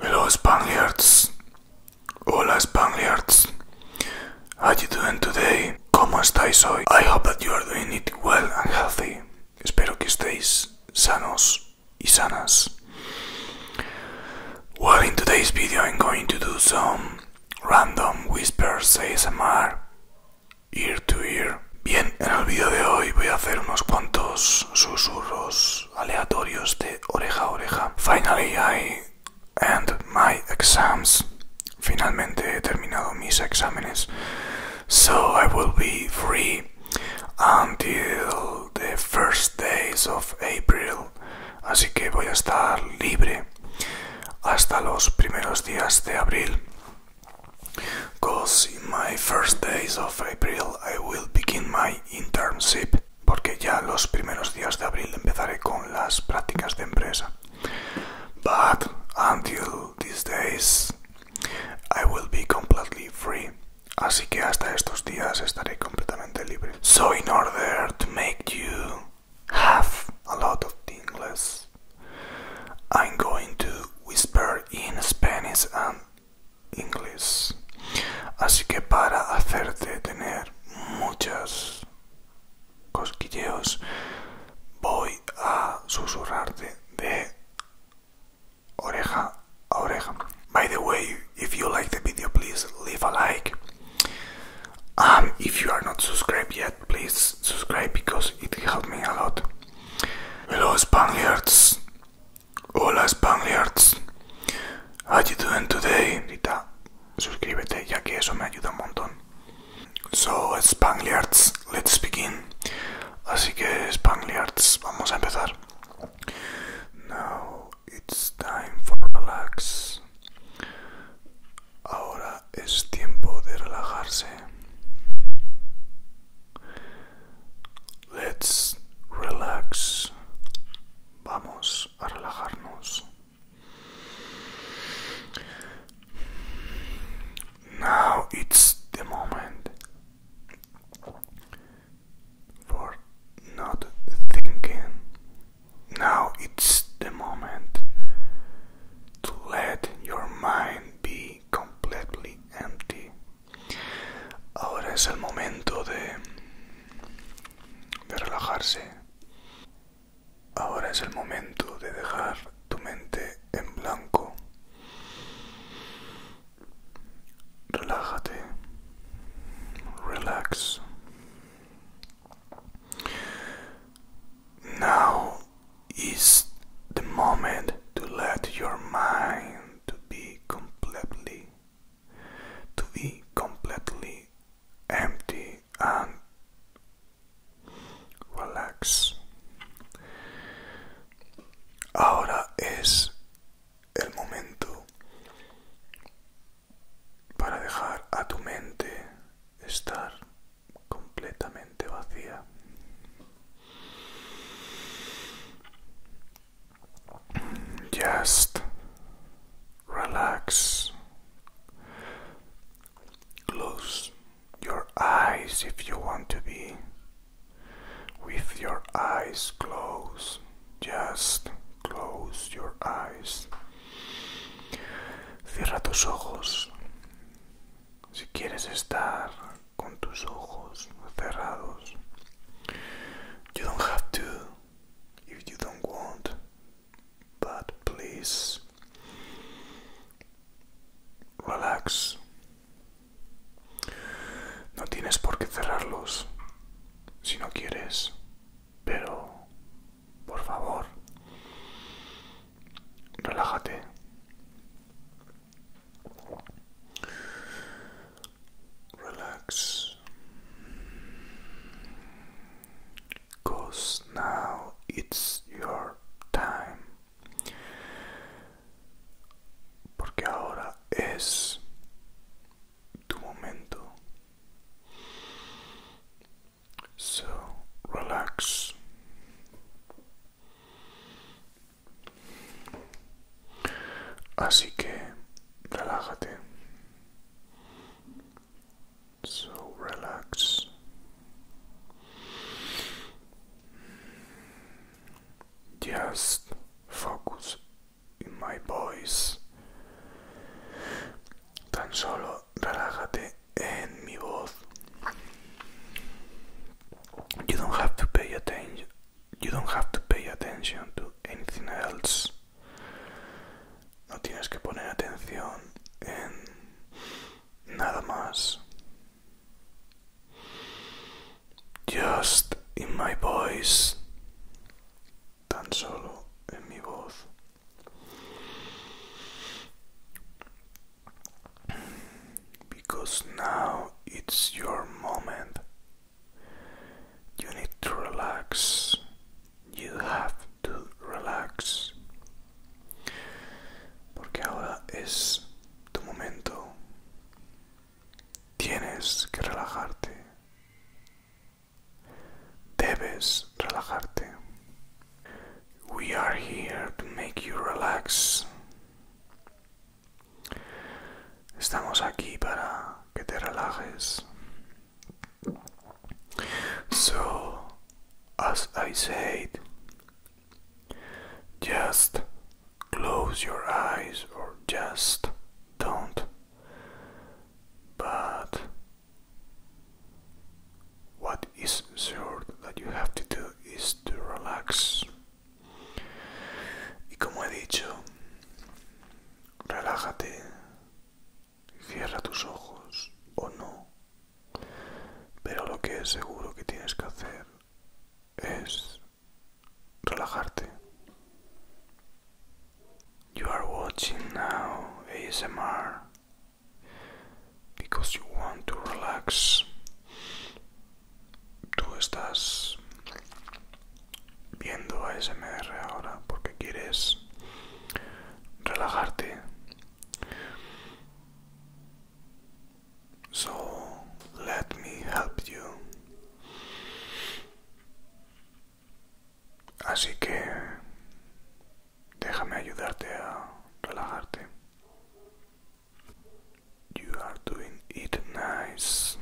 Hello Spaniards. Hola Spaniards. How you doing today? ¿Cómo estáis hoy? I hope that you are doing it well and healthy. Espero que estéis sanos y sanas. Well, in today's video, I'm going to do some random whispers ASMR, ear to ear. Bien, en el video de hoy voy a hacer unos cuantos susurros aleatorios de oreja a oreja. Finally, I end my exams. Finalmente he terminado mis exámenes. So I will be free until the first days of April. Así que voy a estar libre hasta los primeros días de abril. Because in my first days of April I will begin my internship. Porque ya los primeros días de abril empezaré con las prácticas de empresa. But until these days I will be completely free. Así que hasta estos días estaré completamente libre. So in order to make you have a lot of tingles, I'm going to whisper in Spanish and English. Así que para hacerte tener muchas cosquilleos, voy a susurrarte de oreja By the way, if you like the video, please leave a like. Um, if you are not subscribed yet, please subscribe because it helped me a lot. Hello, Spaniards. Hola, Spaniards. How are you doing today? Rita, suscríbete ya que eso me ayuda un montón. So, Spaniards, let's begin. Así que, Spaniards, vamos a empezar. Now, It's time for relax. Ahora es tiempo de relajarse. Let's relax. Vamos a relajarnos. Now it's the moment for not thinking. Now it's the moment to let your mind be completely empty. Ahora es el momento de, de relajarse. Ahora es el momento de dejar tu mente en blanco. relájate, relax. Now is the moment to let your mind to be completely to be completely empty and relax. Ahora es el momento para dejar a tu mente estar completamente vacía. Just relax. Close your eyes if you want to be with your eyes closed. Just close your eyes. Cierra tus ojos. Si quieres estar con tus ojos cerrados. You don't have to if you don't want, but please relax. No tienes por qué cerrarlos si no quieres, pero por favor, relájate. Relax. now it's your time. Porque ahora es tu momento. So relax. Así que relájate. So relax. Just focus in my voice. Tan solo relájate en mi voz. You don't have to pay attention. You don't have to pay attention to anything else. No tienes que poner atención en nada más. just in my voice, tan solo en mi voz. Because now it's your moment. You need to relax. You have to relax. Porque ahora es tu momento. Tienes que relajarte. Debes relajarte. We are here to make you relax. Estamos aquí para que te relajes. So, as I said, just close your eyes or just don't. But what is sure that you have to do is to relax. como he dicho, relájate, cierra tus ojos o no. Pero lo que es seguro que tienes que hacer es relajarte. You are watching now ASMR because you want to relax. Tú estás viendo ASMR ahora porque quieres relajarte. So let me help you. Así que déjame ayudarte a relajarte. You are doing it nice.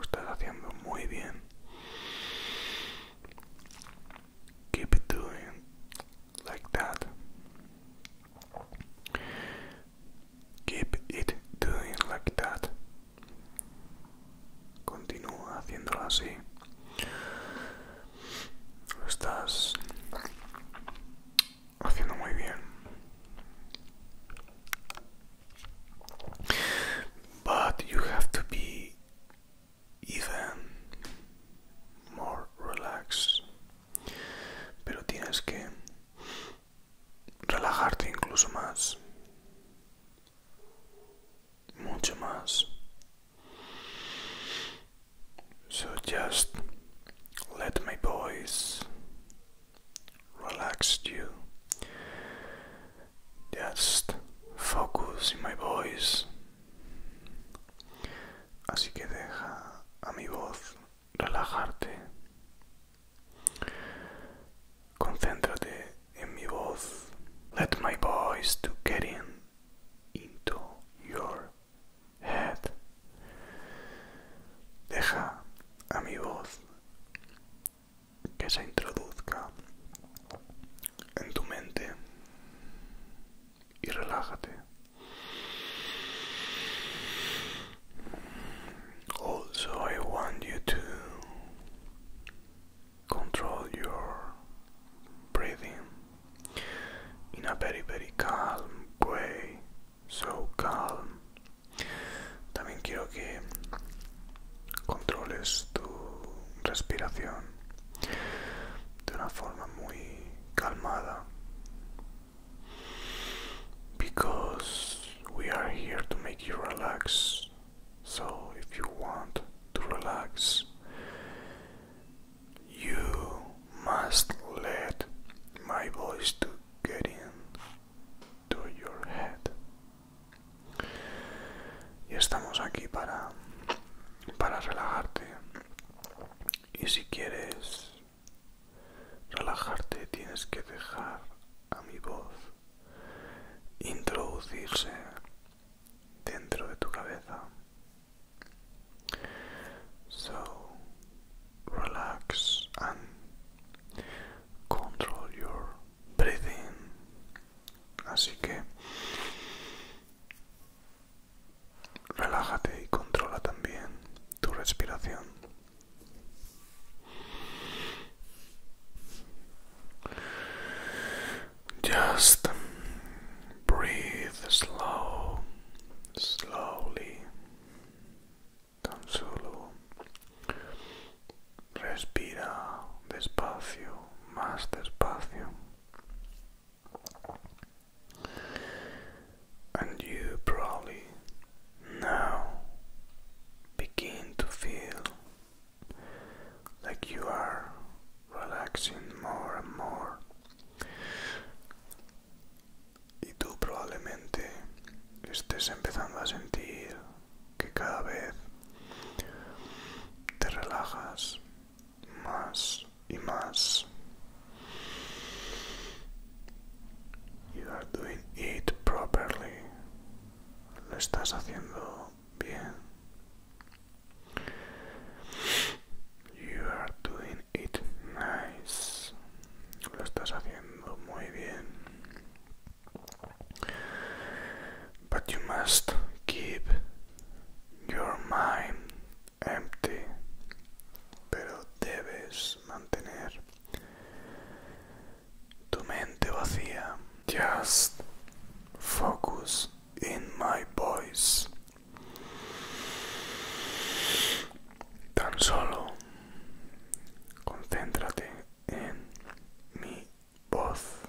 estás haciendo muy bien. Keep it doing like that. Keep it doing like that. Continúa haciéndolo así. Lo estás haciendo muy bien. But you have to be even more relaxed. Pero tienes que relajarte incluso más, mucho más. So just let my voice relax you. Just focus in my voice. Así que deja a mi voz relajarte. Concéntrate en mi voz. Let my voice to get in into your head. Deja a mi voz que se introduzca en tu mente y relájate. Also, I want you to control your breathing in a very, very calm way. So calm. También quiero que controles tu respiración de una forma muy calmada because we are here to make you relax. So, if you want to relax, you must let my voice to get in to your head. Y estamos aquí para para relajarte. Y si quieres relajarte tienes que dejar a mi voz introducirse dentro de tu cabeza. So relax and control your breathing. Así que relájate y controla también tu respiración. Just breathe slow, slowly. Tan solo respira despacio, más despacio. And you probably now begin to feel like you are relaxing more and more. Y tú probablemente estés empezando a sentir que cada vez te relajas más y más. You are doing it properly. Lo estás haciendo bien. You are doing it nice. Lo estás haciendo muy bien. But you must keep your mind empty pero debes mantener tu mente vacía just focus in my voice tan solo concéntrate en mi voz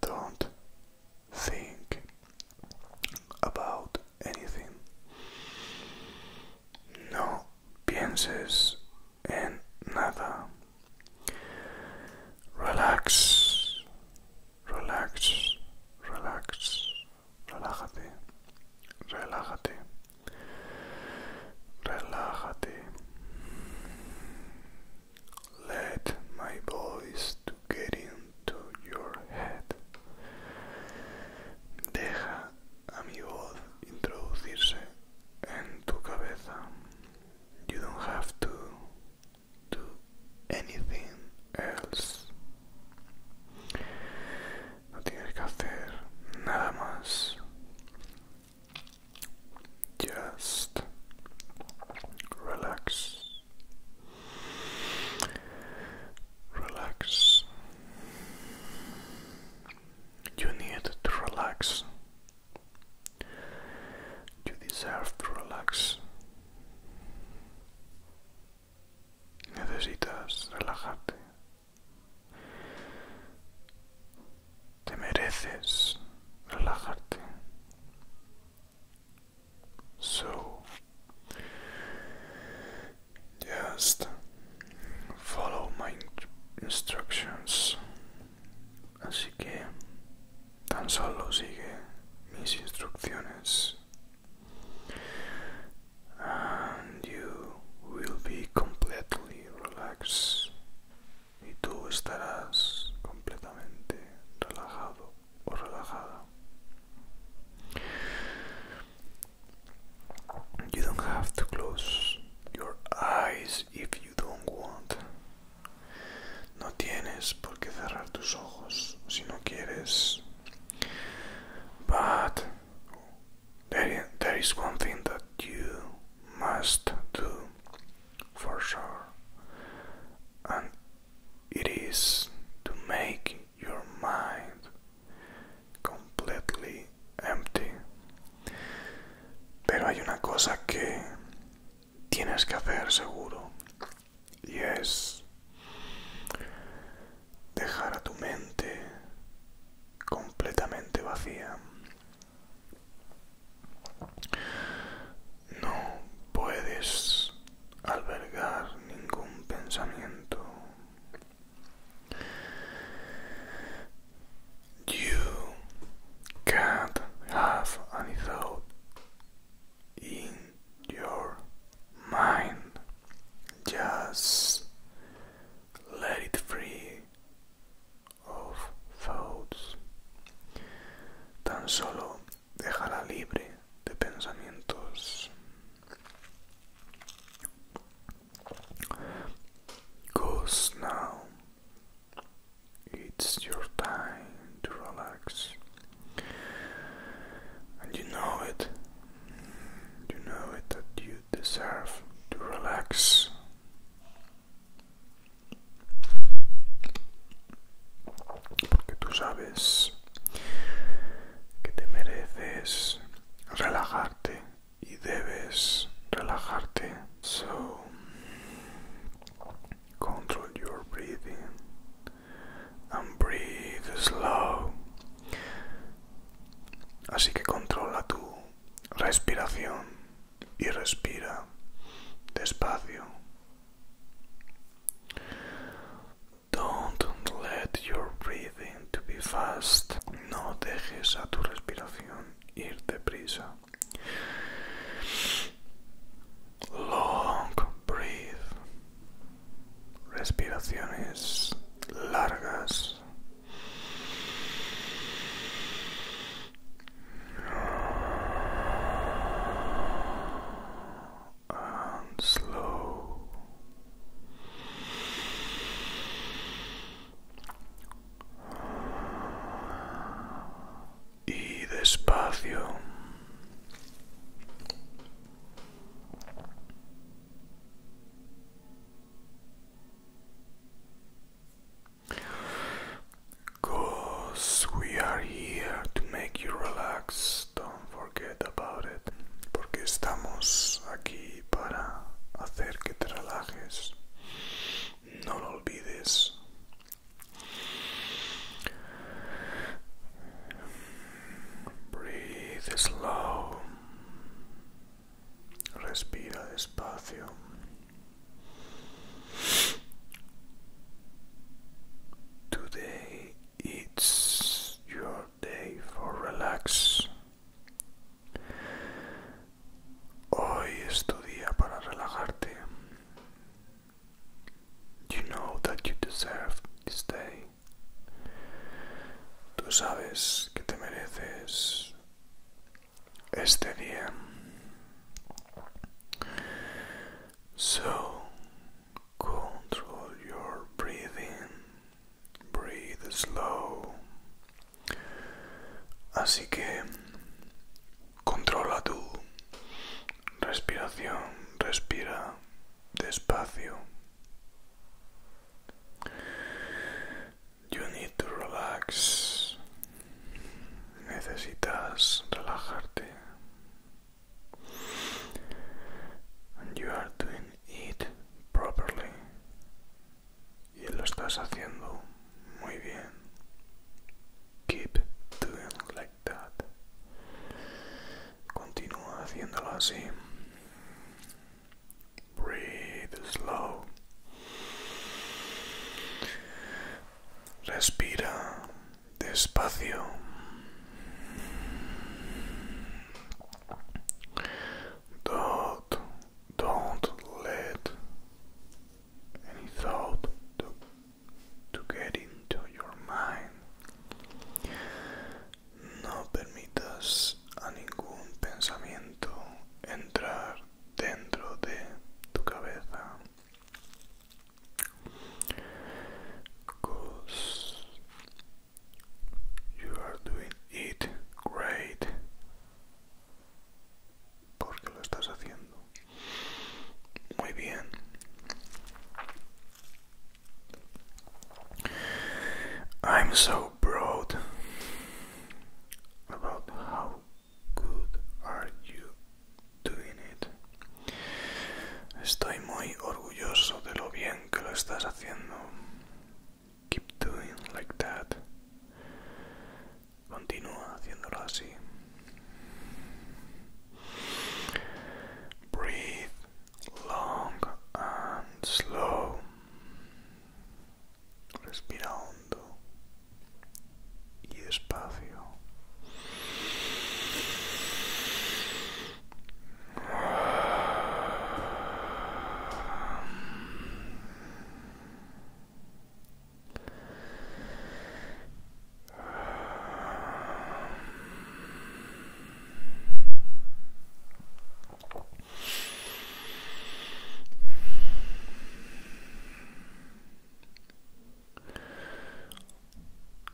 Don't think about anything. No pienses en nada. Relax, relax, relax, relájate, relájate, relájate. Let my voice to get into your head. Deja mi voz introducirse en tu cabeza. You don't have to do anything else. No tienes que hacer nada más. Just relax. Relax. You need to relax. You deserve to relax. Necesitas relajarte. Te mereces relajarte. So, just follow my instructions así que tan solo sigue mis instrucciones and you will be completely relaxed y tú estarás completamente relajado o You don't have to close your eyes if you don't want. No tienes por qué cerrar tus ojos si no quieres. But there, there is one thing that you must do for sure, It to make your mind completely empty. Pero hay una cosa que tienes que hacer seguro y es dejar a tu mente completamente vacía no puedes albergar ningún pensamiento. You can't have any thought in your mind. Just let it free of thoughts. Tan solo dejará libre de pensamientos now it's your time to relax and you know it you know it that you deserve to relax Porque tú sabes que te mereces relajarte y debes relajarte. So control your breathing and breathe slow. Así que controla tu respiración y respira despacio. Don't let your breathing to be fast. No dejes a tu respiración ir deprisa. Long breathe. Respiraciones largas and slow. Y despacio. Cause we are here to make you relax. Don't forget about it. Porque estamos aquí para hacer que te relajes. No lo olvides. Breathe slow. Respira despacio. Today it's your day for relax. Hoy es tu día para relajarte. You know that you deserve this day. Tú sabes que te mereces este día. So control your breathing. Breathe slow. Así que controla tu respiración, respira despacio. You need to relax. Necesitas relajarte. And you are doing it properly. Y lo estás haciendo muy bien. Keep doing like that. Continúa haciéndolo así. Breathe slow. Respira despacio. Don't, don't let any thought to, to get into your mind. No permitas a ningún pensamiento entrar dentro de tu cabeza you are doing it great porque lo estás haciendo muy bien I'm so proud about how good are you doing it? Estoy muy orgulloso de lo bien que lo estás haciendo. Keep doing like that. Continúa haciéndolo así. Breathe long and slow. Respira hondo y espacio.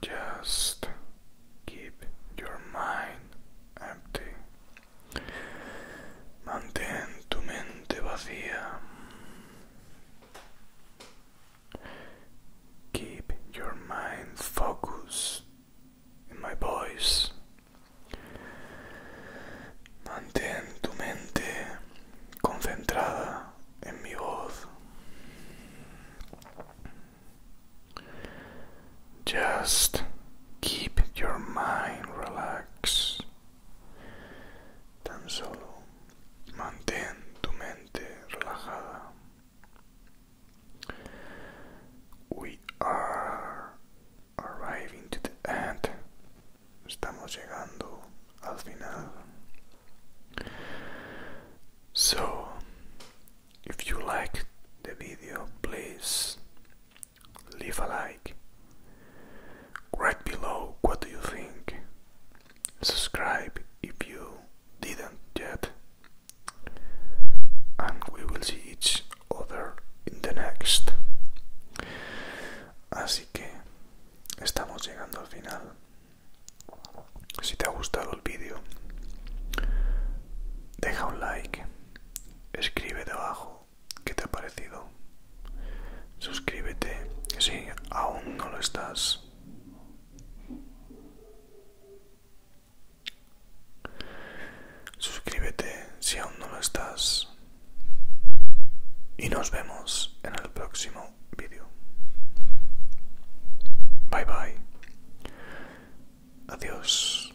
Just keep your mind empty. Mantén tu mente vacía. Keep your mind focused in my voice. Mantén tu mente concentrada en mi voz. Just keep your mind relaxed. Tan solo mantén tu mente relajada. We are arriving to the end. Estamos llegando al final. So, if you like the video, please leave a like. Write below what do you think. Subscribe if you didn't yet. And we will see each other in the next. Así que estamos llegando al final. Si te ha gustado el vídeo, deja un like, escribe debajo qué te ha parecido, suscríbete si aún no lo estás suscríbete si aún no lo estás y nos vemos en el próximo vídeo. Bye bye. Adiós.